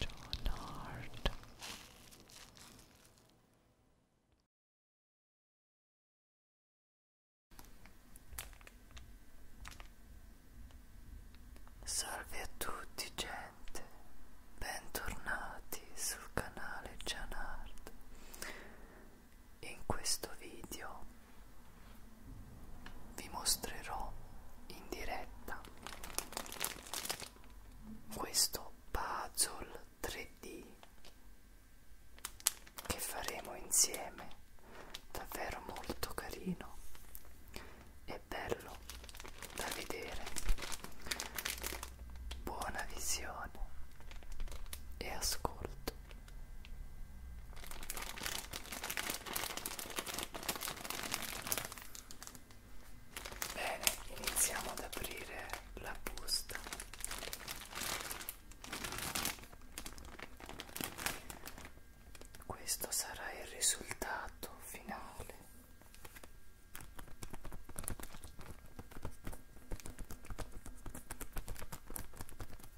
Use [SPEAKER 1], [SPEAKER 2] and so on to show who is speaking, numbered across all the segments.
[SPEAKER 1] John Hart Salve a tutti gente, bentornati sul canale John Hart. In questo video vi mostrerò in diretta questo puzzle 3D che faremo insieme davvero molto carino e bello da vedere buona visione e ascolto Bene, iniziamo ad aprire la busta. Questo sarà il risultato finale.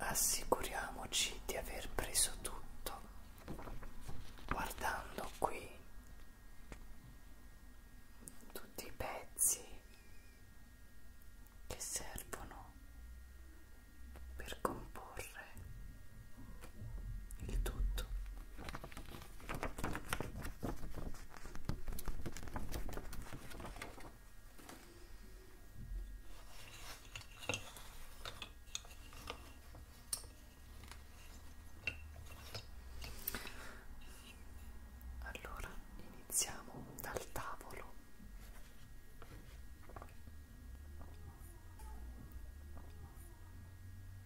[SPEAKER 1] Assicuriamoci di aver preso tutto guardando qui tutti i pezzi che servono per comporre il tutto. Allora iniziamo dal tavolo.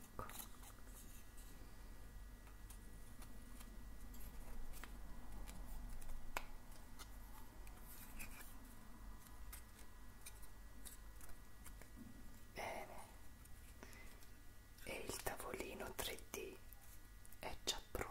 [SPEAKER 1] ecco bene e il tavolino 3D è già pronto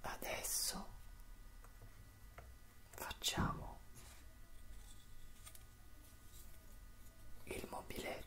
[SPEAKER 1] Adesso facciamo il mobiletto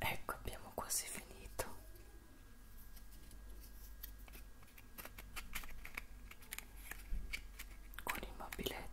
[SPEAKER 1] Ecco, abbiamo quasi finito. Con il mobiletto.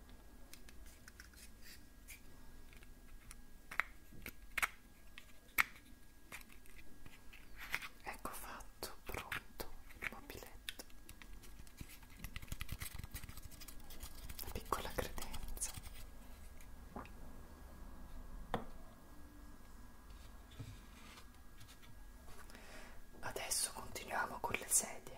[SPEAKER 1] Ecco fatto, pronto il mobiletto. La piccola credenza. Adesso continuiamo con le sedie.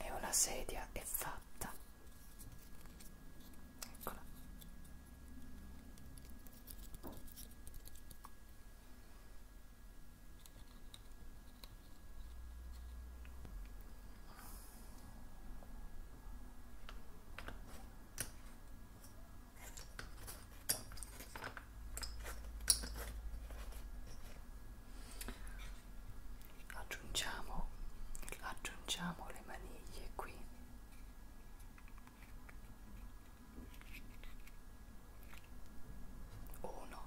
[SPEAKER 1] e una sedia è fatta eccola aggiungiamo, aggiungiamo le maniglie qui uno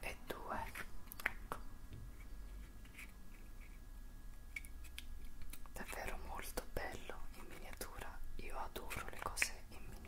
[SPEAKER 1] e due ecco davvero molto bello in miniatura io adoro le cose in miniatura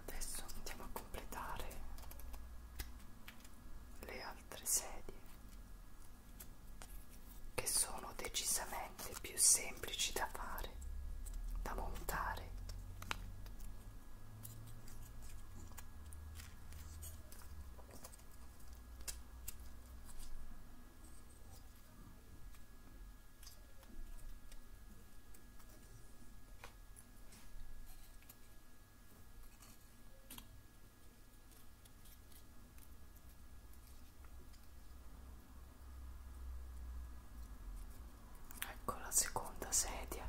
[SPEAKER 1] adesso andiamo a completare le altre sedie che sono decisamente più semplici da fare da montare Ecco la seconda sedia.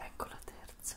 [SPEAKER 1] Ecco la terza.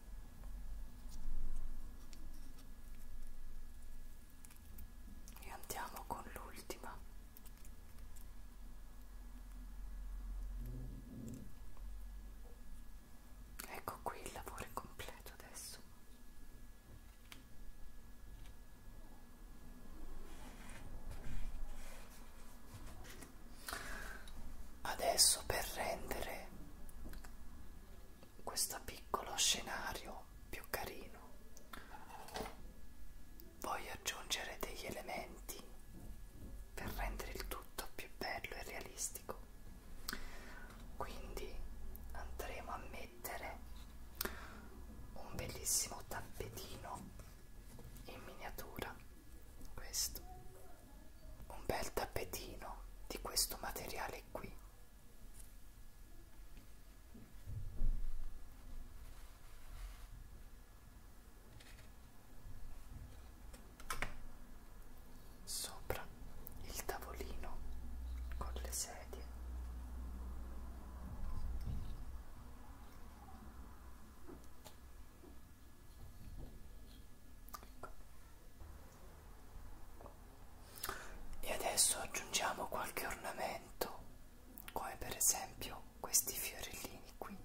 [SPEAKER 1] e andiamo con l'ultima ecco qui il lavoro è completo adesso Adesso per rendere questo piccolo scenario più carino voglio aggiungere degli elementi per rendere il tutto più bello e realistico quindi andremo a mettere un bellissimo tappetino in miniatura questo un bel tappetino di questo materiale qui sopra il tavolino con le sedie ecco e adesso aggiungiamo qualche ornamento, come per esempio questi fiorellini qui,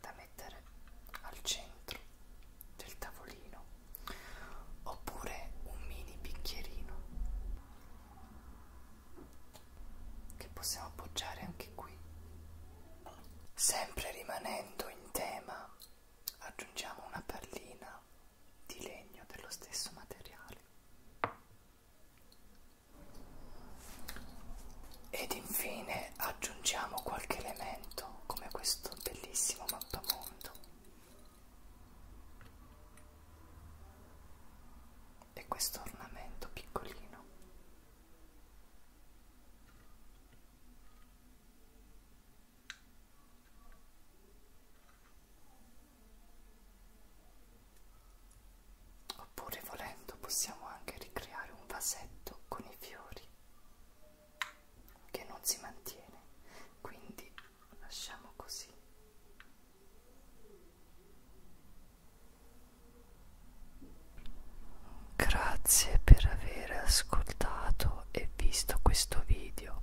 [SPEAKER 1] da mettere al centro del tavolino, oppure un mini bicchierino che possiamo appoggiare anche qui Sempre rimanendo in tema, aggiungiamo una pallina di legno dello stesso materiale. Ed infine aggiungiamo qualche elemento come questo bellissimo mappamondo e questo ornamento piccolino Oppure volendo possiamo anche ricreare un vasetto con i fiori che non si mantiene, quindi lasciamo così. Grazie per aver ascoltato e visto questo video.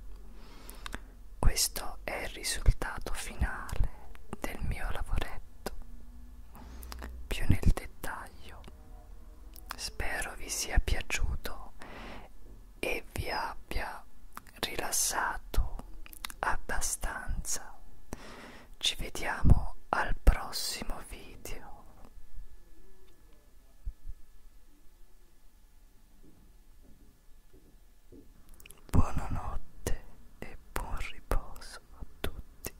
[SPEAKER 1] Questo è il risultato finale del mio lavoretto. Più nel dettaglio. Spero vi sia piaciuto e vi abbia rilassato abbastanza ci vediamo al prossimo video buonanotte e buon riposo a tutti